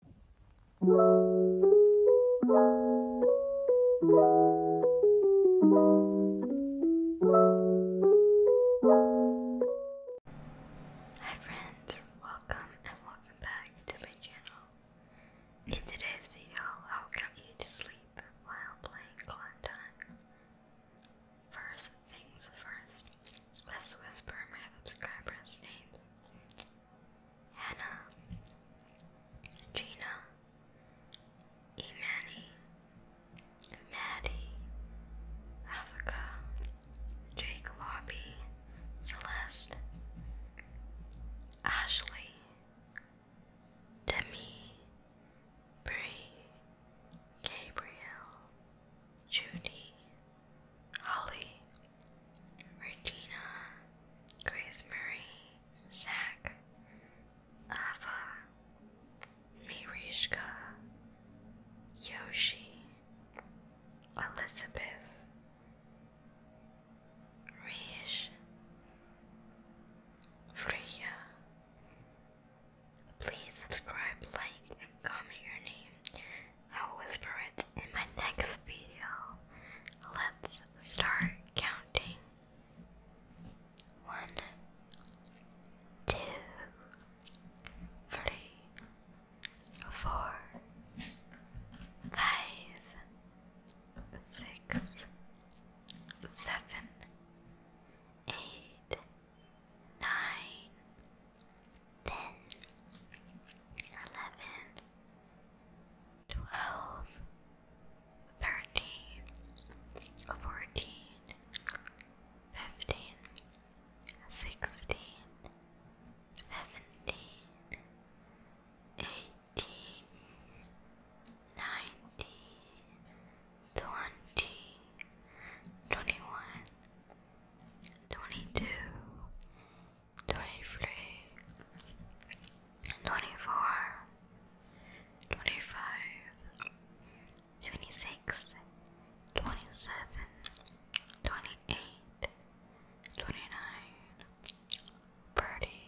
Hi friends, welcome and welcome back to my channel. In today's video, I will get you to sleep while playing Climb First things first, let's whisper my subscribers' names. Hannah, Gina, Imani, Maddie, Africa, Jake Lobby, Celeste, Ashley, Demi, Bree, Gabriel, Judy, Holly, Regina, Grace Marie, Zach, Ava, Mirishka, Yoshi, Elizabeth, Rish, Freya. Please subscribe, like, and comment your name I'll whisper it in my next video. Let's start counting. One, two, three, four, five, six, seven, eight, nine, ten, eleven, twelve, thirteen, fourteen, fifteen, sixteen, seventeen, eighteen, nineteen, twenty, twenty-one, twenty-two twenty-three, twenty-four, twenty-five, twenty-six, twenty-seven, twenty-eight, twenty-nine, thirty,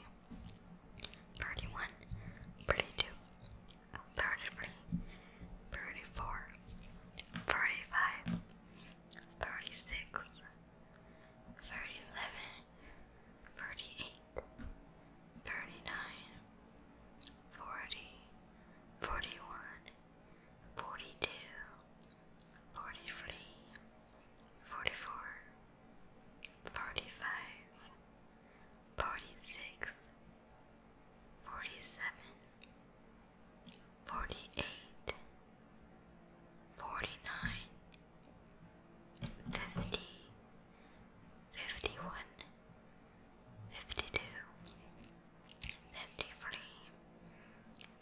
thirty-one, thirty-two, thirty-three, thirty-four, thirty-five, thirty-six. 36 37 38 39 40 41 42 43 44 45 46 47 forty eight, forty nine, fifty, fifty one, fifty two, fifty three,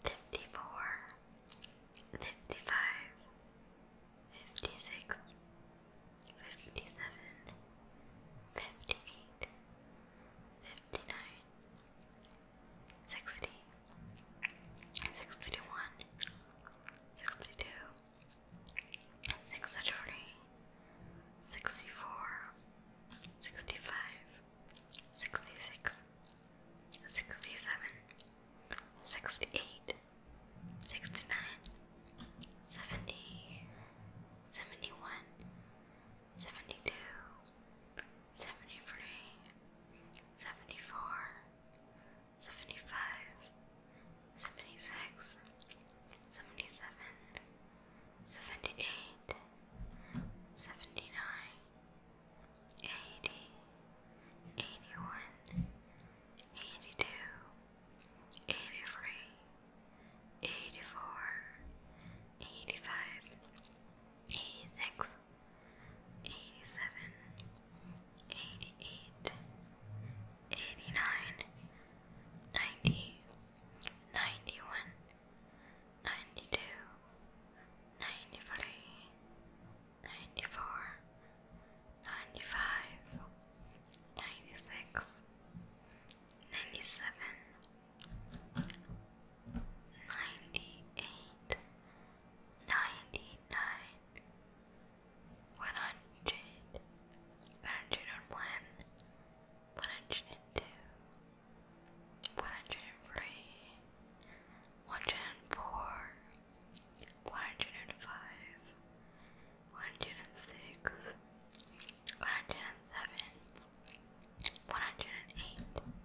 fifty four, fifty five, fifty six, fifty seven, fifty eight, fifty nine. 60 sixty one, sixty two, sixty three, sixty four, sixty five, sixty six, sixty seven, sixty eight, sixty nine, seventy, seventy one, seventy two. 71 72 73, 74, 75, 76, 77, 78, 79, 80, 81, 82, 83, 84, 85, 86, 86, 87, 88, 89, 90, 91, 92, 93, 94, 95, 96, 97, 98, 99, ninety-nine, one hundred, one hundred and one, one hundred and two, one hundred and three, one hundred and four, one hundred and five, one hundred and six, one hundred and seven, one hundred and eight.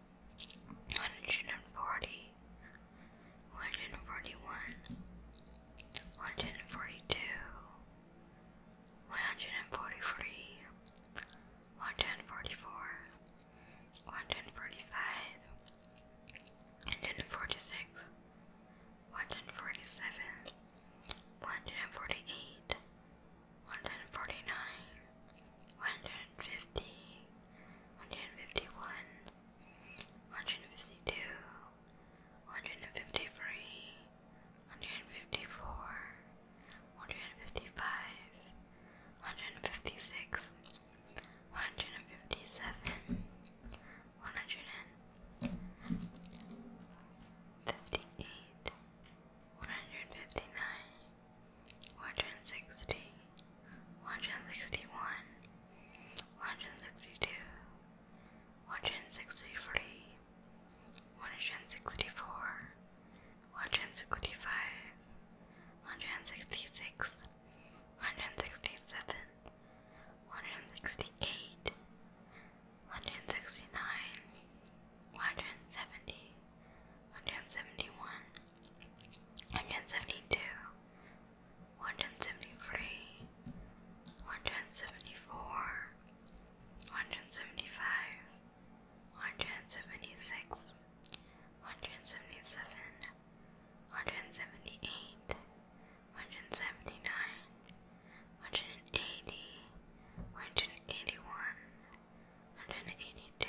one hundred and forty, one hundred and forty one, one hundred and forty two, one hundred and forty three, one hundred and forty four, one hundred and forty five, one hundred and forty six, one hundred and forty seven, one hundred and forty eight, one hundred and forty nine, 150, 151, 152, 153, 154, 155, 156, 157, 158, 159 160, 161, 162, 163, 164, 165, 166, 167, 168, 169, 170, 171 172 173 174 175 176 177 178 179 180 181 182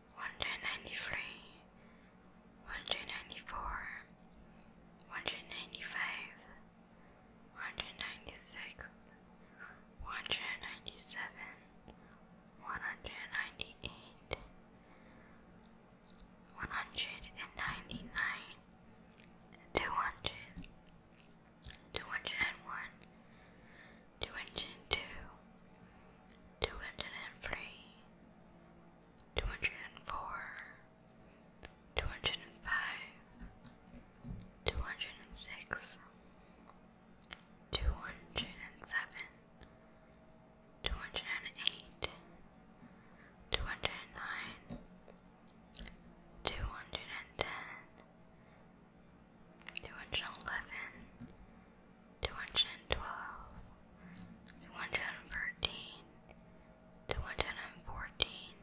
193 194 195 196 197 198 199 200 201 202 203 two hundred and four, two hundred and five, two hundred and six, two hundred and seven, two hundred and eight, two hundred and nine, two hundred and ten, two hundred and eleven. 212 two hundred and twelve, two hundred and thirteen, two hundred and fourteen,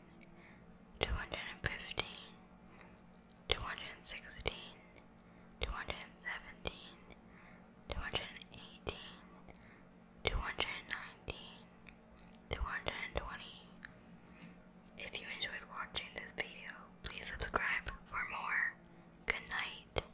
two hundred and fifteen, two hundred and sixteen, two hundred and seventeen, two hundred and eighteen, two hundred and nineteen, two hundred and twenty. If you enjoyed watching this video, please subscribe for more. Good night.